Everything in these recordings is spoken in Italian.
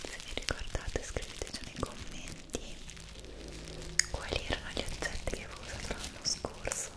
se vi ricordate scriveteci nei commenti quali erano gli oggetti che avevo usato l'anno scorso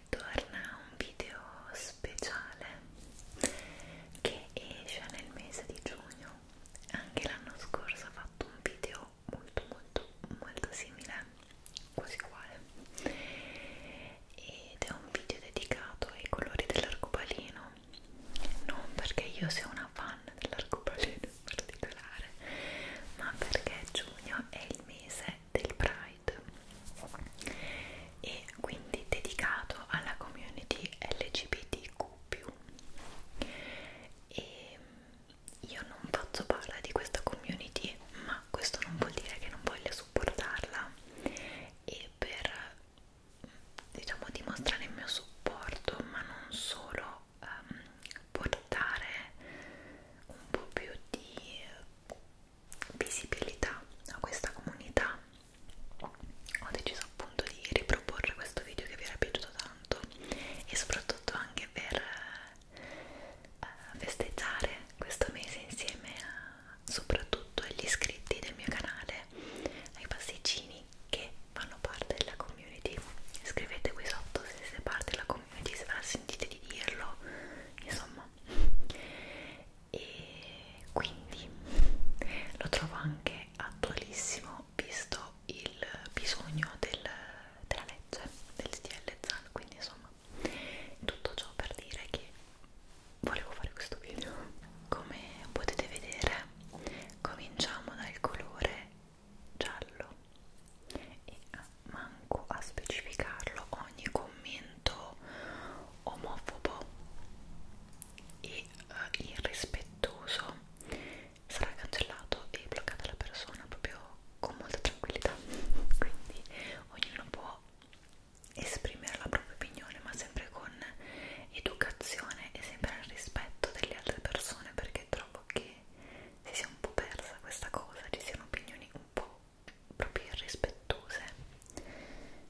torna un video speciale che esce nel mese di giugno anche l'anno scorso ho fatto un video molto molto molto simile quasi uguale ed è un video dedicato ai colori dell'arcobaleno non perché io sia una fan dell'arcobaleno in particolare ma perché giugno è il mese del Pride Pride e quindi dedicato alla community LGBTQ e io non faccio parte di questa community ma questo non vuol dire che non voglia supportarla e per diciamo dimostrare il mio supporto ma non solo um, portare un po' più di visibilità a questa comunità ho deciso appunto di riproporre questo video che vi era piaciuto tanto e soprattutto anche per uh, festeggiare questo mese insieme a, soprattutto agli iscritti del mio canale ai pasticcini che fanno parte della community scrivete qui sotto se siete parte della community se ve la sentite di dirlo insomma e quindi lo trovo anche attualissimo visto il bisogno del, della legge del SDL ZAN quindi insomma tutto ciò per dire che volevo fare questo video come potete vedere cominciamo dal colore giallo e manco a specificarlo ogni commento atteggiamento omofobo e uh, irrispettoso sarà cancellato e bloccata la persona proprio con molta tranquillità quindi ognuno può esprimere la propria opinione ma sempre con educazione e sempre al rispetto delle altre persone perché trovo che si sia un po' persa questa cosa ci siano opinioni un po' proprio irrispettose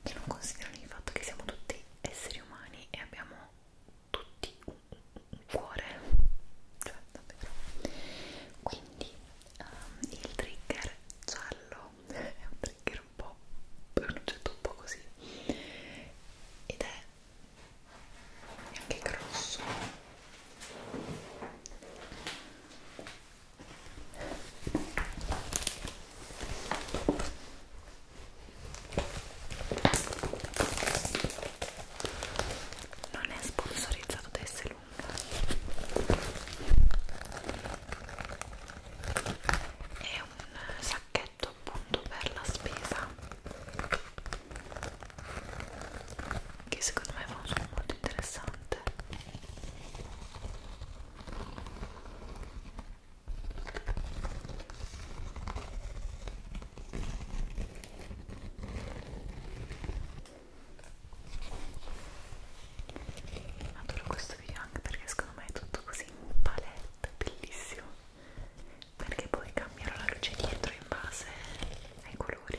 che non considerano il fatto che siamo tutti esseri umani e abbiamo tutti un, un cuore cioè, davvero quindi um, il trigger giallo è un trigger un po' è un oggetto un po' così ed è anche grosso non è sponsorizzato da essere lunga è un sacchetto appunto per la spesa che secondo me fa un suono molto interessante importante adoro questo video anche perché secondo me è tutto così in palette bellissimo perché poi cambierò la luce dietro in base ai colori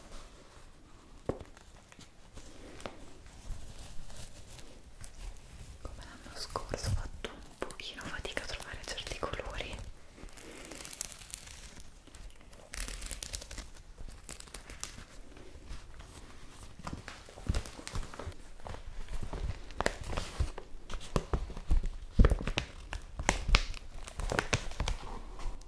come l'anno scorso ho fatto un pochino fatica a trovare certi colori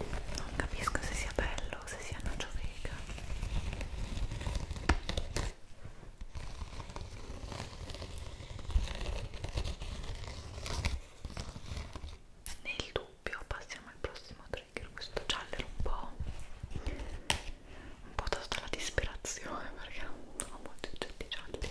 Non capisco se sia bello o se sia nocio vega nel dubbio passiamo al prossimo trigger questo giallo era un po' un po' dato la disperazione perché non sono molti oggetti gialli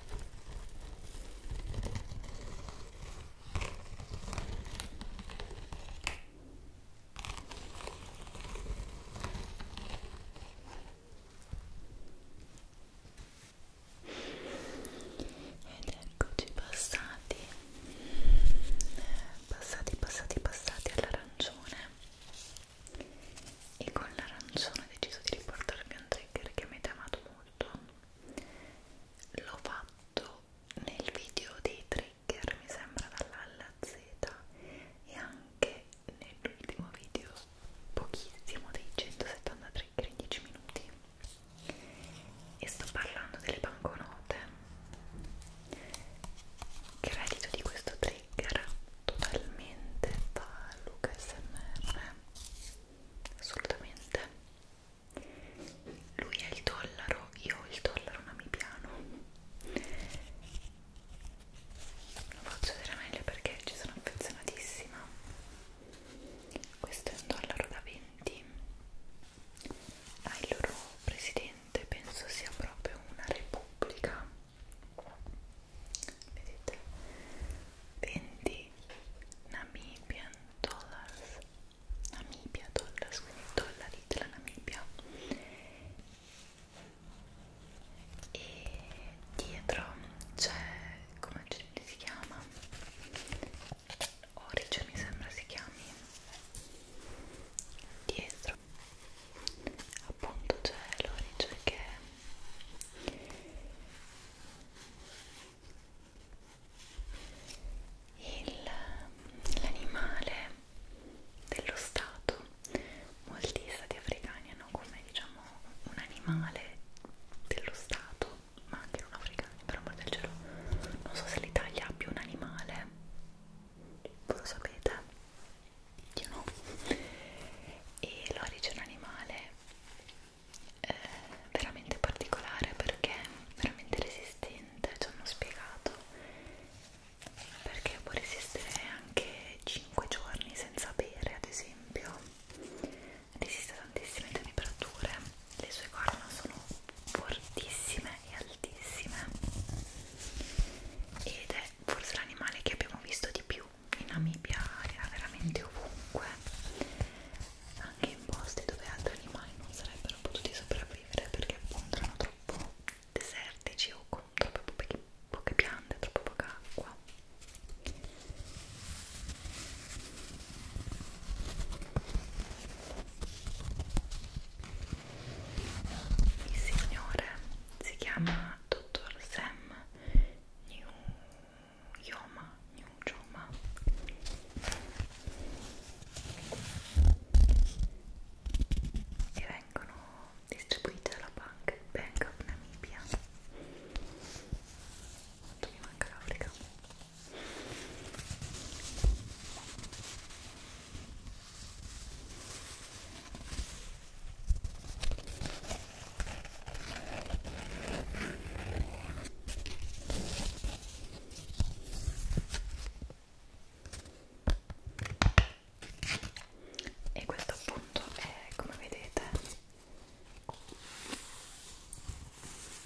Ed eccoci passati, passati, passati, passati all'arancione e con l'arancione ho deciso di riportarvi un trigger che avete amato molto l'ho fatto nel video dei trigger mi sembra dalla alla Z e anche nell'ultimo video pochissimo dei 170 trigger in 10 minuti e sto parlando delle banconote che reddito di questo trigger totalmente da Luca SMR assolutamente lui è il dollaro io il dollaro ma mi piano lo faccio vedere meglio perché ci sono affezionatissima questo è un dollaro da 20 ha ah, il loro presidente penso sia proprio una repubblica vedete 20 Namibian dollars Namibia dollars quindi dollari della Namibia e dietro c'è come si chiama Origin mi sembra si chiami dietro appunto c'è l'origine che è L'animale dello Stato, molti stati africani hanno come diciamo un animale dello Stato, ma anche non africani, per amor del cielo, non so se l'Italia abbia un animale, voi lo sapete, io no, e l'origine animale eh, veramente particolare perché veramente resistente ci hanno spiegato perché può resistere anche 5 giorni senza bere ad esempio resiste a tantissime temperature le sue corna sono fortissime e altissime ed è forse l'animale che abbiamo visto di più in Namibia era veramente ovunque anche in posti dove altri animali non sarebbero potuti sopravvivere perché appunto erano troppo desertici o con troppe poche, poche piante, troppo poca acqua il signore si chiama dottor Sam New Yoma, New Joma e vengono distribuite dalla banca Bank of Namibia quanto mi manca l'Africa e questo appunto è come vedete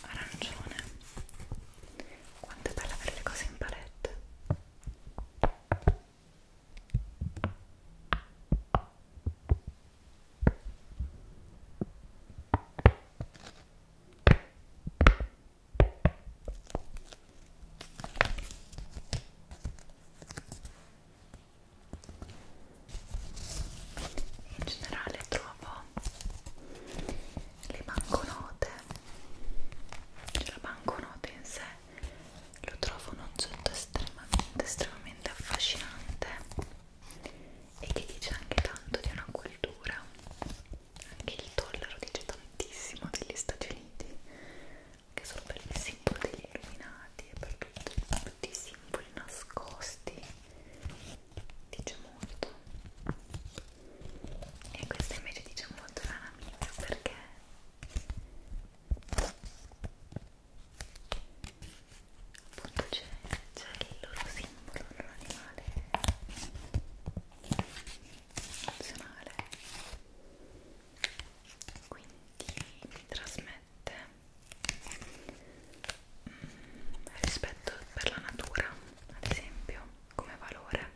arancione quanto è bella avere le cose in palette in generale trovo le banconote, cioè la banconote in sé lo trovo un oggetto estremamente estremamente affascinante e che dice anche tanto di una cultura anche il dollaro dice tantissimo degli Stati Uniti anche solo per il simbolo degli illuminati e per tutti, tutti i simboli nascosti dice molto e questa invece dice molto la mia perché appunto c'è il loro simbolo, il loro animale nazionale quindi mi trasmette mm, rispetto per la natura ad esempio come valore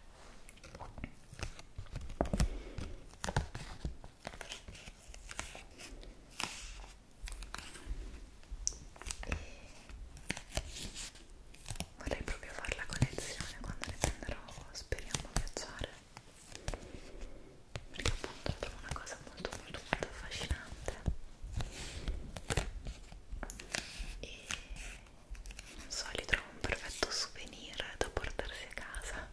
e vorrei proprio fare la collezione quando le prenderò speriamo a viaggiare perché appunto è una cosa molto molto molto affascinante e non so, li trovo un perfetto souvenir da portarsi a casa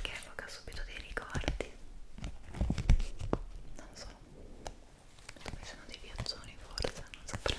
che evoca subito dei ricordi non so dove sono dei piazzoni forse non saprei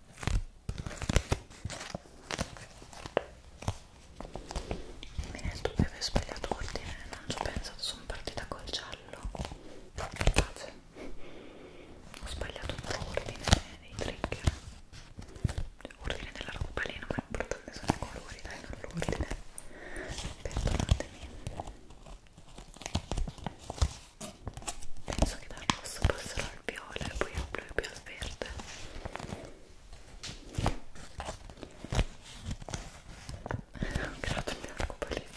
mi rendo che avevo sbagliato ordine eh, non ci ho pensato sono partita col giallo Grazie. ho sbagliato un po' l'ordine dei trigger l'ordine della roba lì non è importante sono i colori dai non l'ordine perdonatemi penso che dal rosso passerò al viola e poi al blu e poi al verde ho creato il mio arcobaleno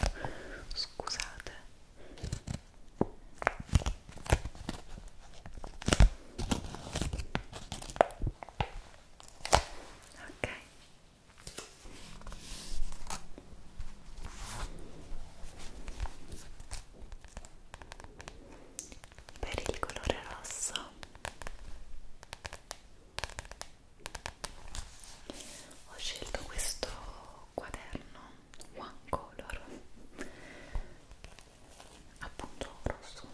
scusate ok per il colore rosso ho scelto questo quaderno one color appunto rosso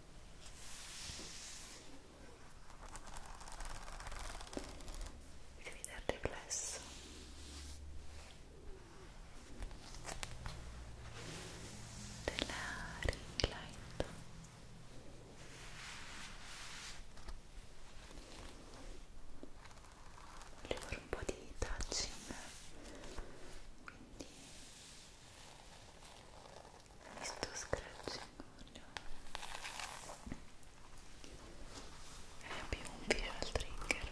e vede il riflesso della ring light Voglio fare un po' di touching quindi mi sto scratching è più un visual trigger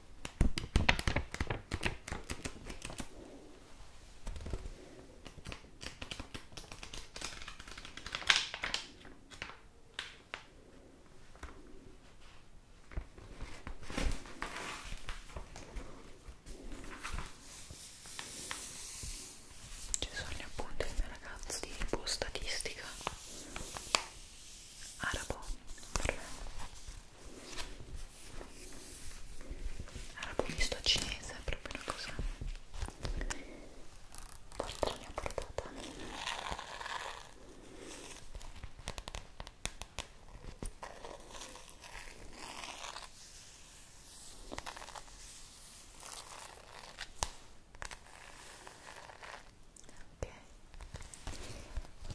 Ci sono gli appunti del mio ragazzo di tipo statistica arabo arabo misto cinese è proprio una cosa porta mia portata ok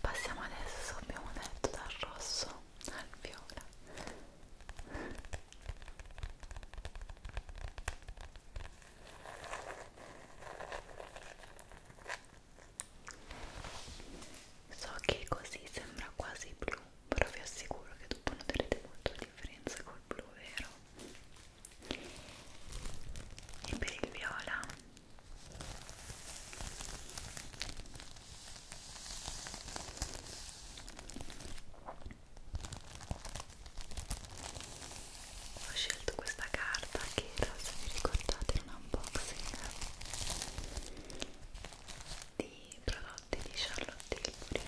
passiamo adesso abbiamo detto dal rosso al viola so che così sembra quasi blu però vi assicuro che dopo noterete molto la differenza col blu vero e per il viola ho scelto questa carta che era, se vi ricordate, era un unboxing di prodotti di Charlotte Tilbury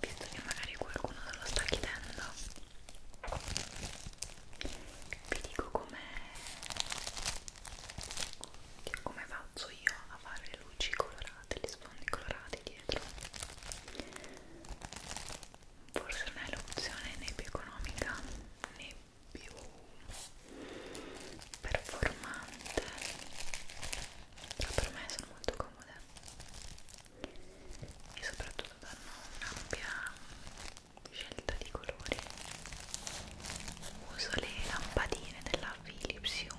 visto che magari qualcuno non lo sta chiedendo vi dico come come faccio io a fare luci colorate degli sfondi colorati dietro forse non è l'opzione né più economica né più performante ma per me sono molto comode e soprattutto danno un'ampia scelta di colori uso le lampadine della Philips Hue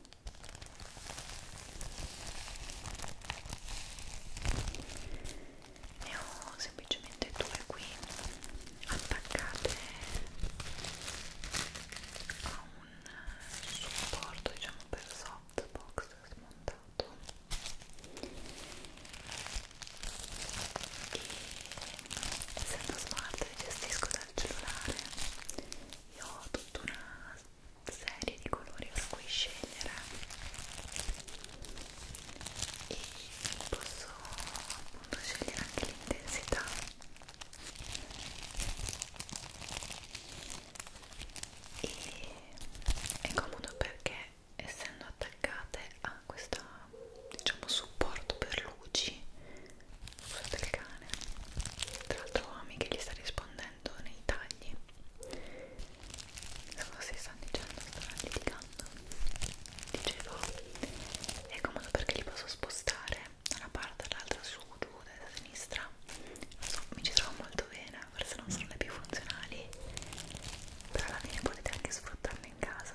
ne ho semplicemente due qui attaccate a un supporto diciamo per softbox smontato e essendo smart gestisco dal cellulare io ho tutta una serie di colori per cui scegliere e posso appunto scegliere anche l'intensità e è comodo perché essendo attaccate a questo diciamo supporto per luci l'uso del cane tra l'altro Ami che gli sta rispondendo nei tagli cosa stanno dicendo? stanno litigando dicevo è comodo perché li posso spostare da una parte all'altra su, giù, da sinistra non so, mi ci trovo molto bene forse non sono le più funzionali però alla fine potete anche sfruttarle in casa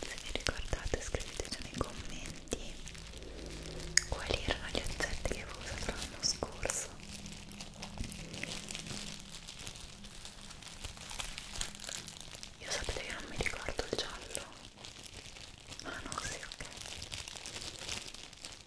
se vi ricordate scriveteci nei commenti quali erano gli oggetti che avevo usato l'anno scorso io sapete che non mi ricordo il giallo ah no, sì, ok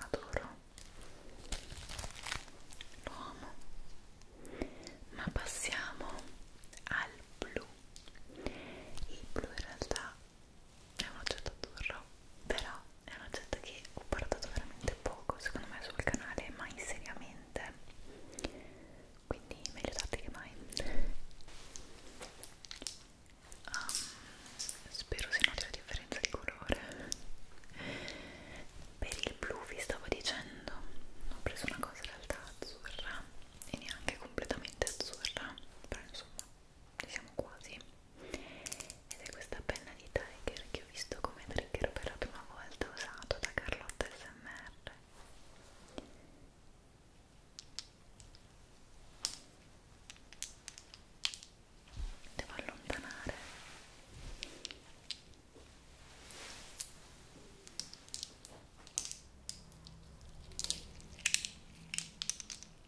Adoro. Lo amo. Ma passiamo al blu. Il blu in realtà è un oggetto azzurro però è un oggetto che ho portato veramente poco secondo me sul canale mai seriamente quindi meglio tardi che mai um, spero si noti la differenza di colore per il blu vi stavo dicendo ho preso una cosa in realtà azzurra e neanche completamente azzurra però insomma siamo quasi ed è questa penna di Tiger che ho visto come trigger per la prima volta usato da Carlotta SMR devo allontanare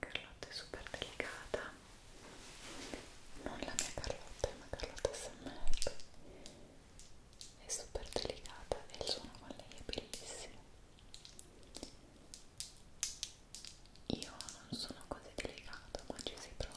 Carlotta è super delicata non la mia Carlotta, ma Carlotta SMR è super delicata e il suono con lei è bellissimo io non sono così delicato ma ci si prova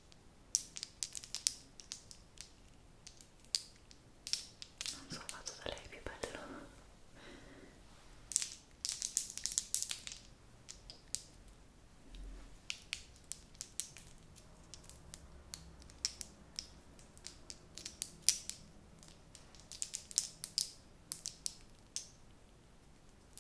non so fatto da lei più bello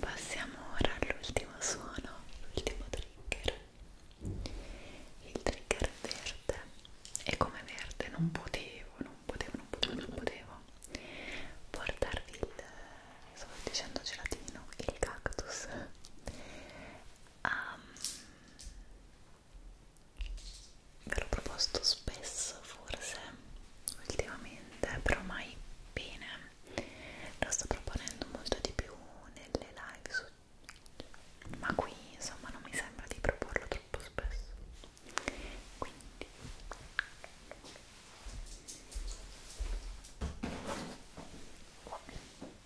Passiamo ora all'ultimo suono, l'ultimo trigger. Il trigger verde e come verde non potevo, non potevo, non potevo, non potevo portarvi il, eh, stavo dicendo gelatino, il cactus um, ve l'ho proposto spesso forse ultimamente però mai bene lo sto proponendo molto di più nelle live su ma qui insomma non mi sembra di proporlo troppo spesso quindi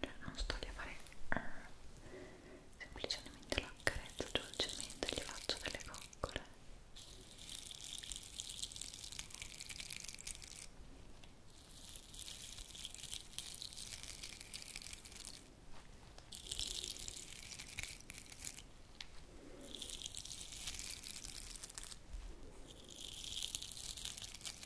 cioè non sto lì a fare eh, semplicemente lo accarezzo dolcemente gli faccio delle coccole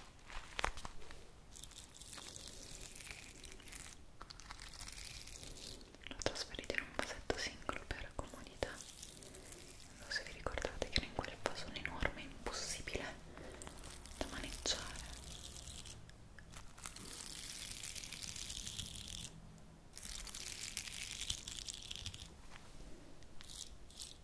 L'ho trasferito in un vasetto singolo per comodità. Non so se vi ricordate che era in quel vasone enorme, impossibile da maneggiare.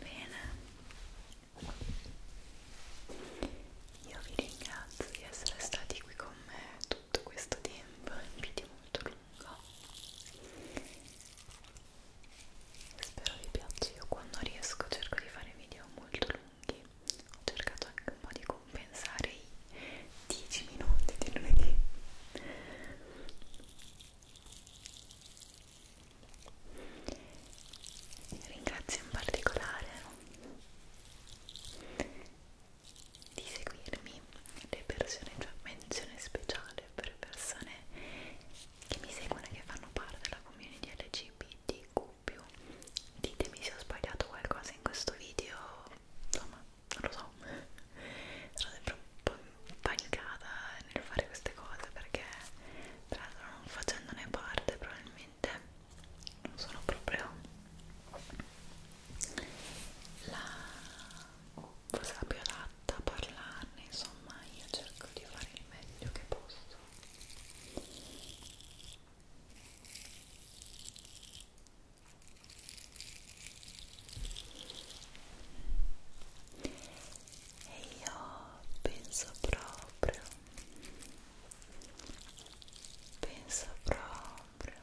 Bene, io vi ringrazio di essere stati qui con me tutto questo tempo è un video molto lungo spero vi piaccia io quando riesco cerco di fare video molto lunghi ho cercato anche un po' di compensare i 10 minuti di lunedì ringrazio in particolare di seguirmi le persone, cioè menzione speciale per persone che mi seguono e che fanno parte della community LGBTQ. Ditemi se ho sbagliato qualcosa in questo video, insomma, non lo so. Sono sempre un po' impanicata nel fare queste cose perché, tra l'altro, non facendone parte, probabilmente non sono proprio la cosa più adatta a parlarne insomma io cerco di fare il meglio che posso e io penso proprio penso proprio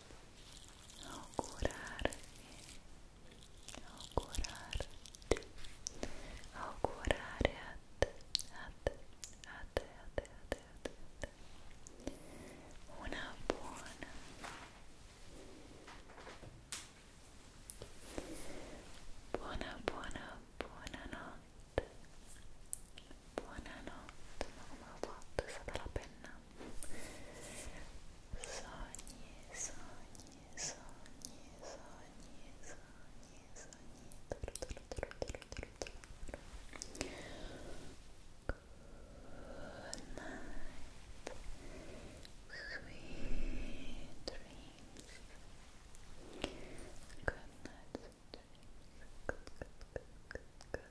augurarvi augurarti augurare a te a te a te a te a te a te, a te. una buona buona buona buona notte buonanotte ma come ho fatto? è stata la penna Sogni, sogni, sogni, sogni, sogni, sogni. Good Sweet dreams. Good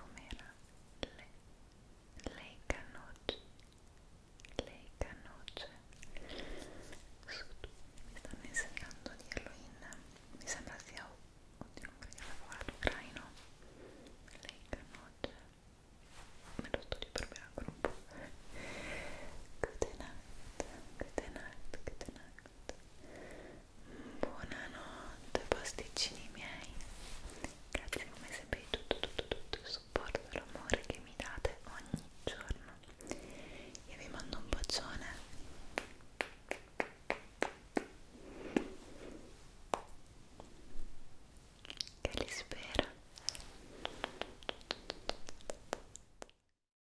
com'era? Le, lei canoce lei canoce su tu mi stanno insegnando di Halloween mi sembra sia oddio non credo lavorato ucraino lei canoce me lo sto riproverando ancora un po' good night good night good night Buonanotte pasticcini miei Grazie come sempre di tutto, tutto, tutto il supporto e l'amore che mi date ogni giorno Io vi mando un bacione Che li spera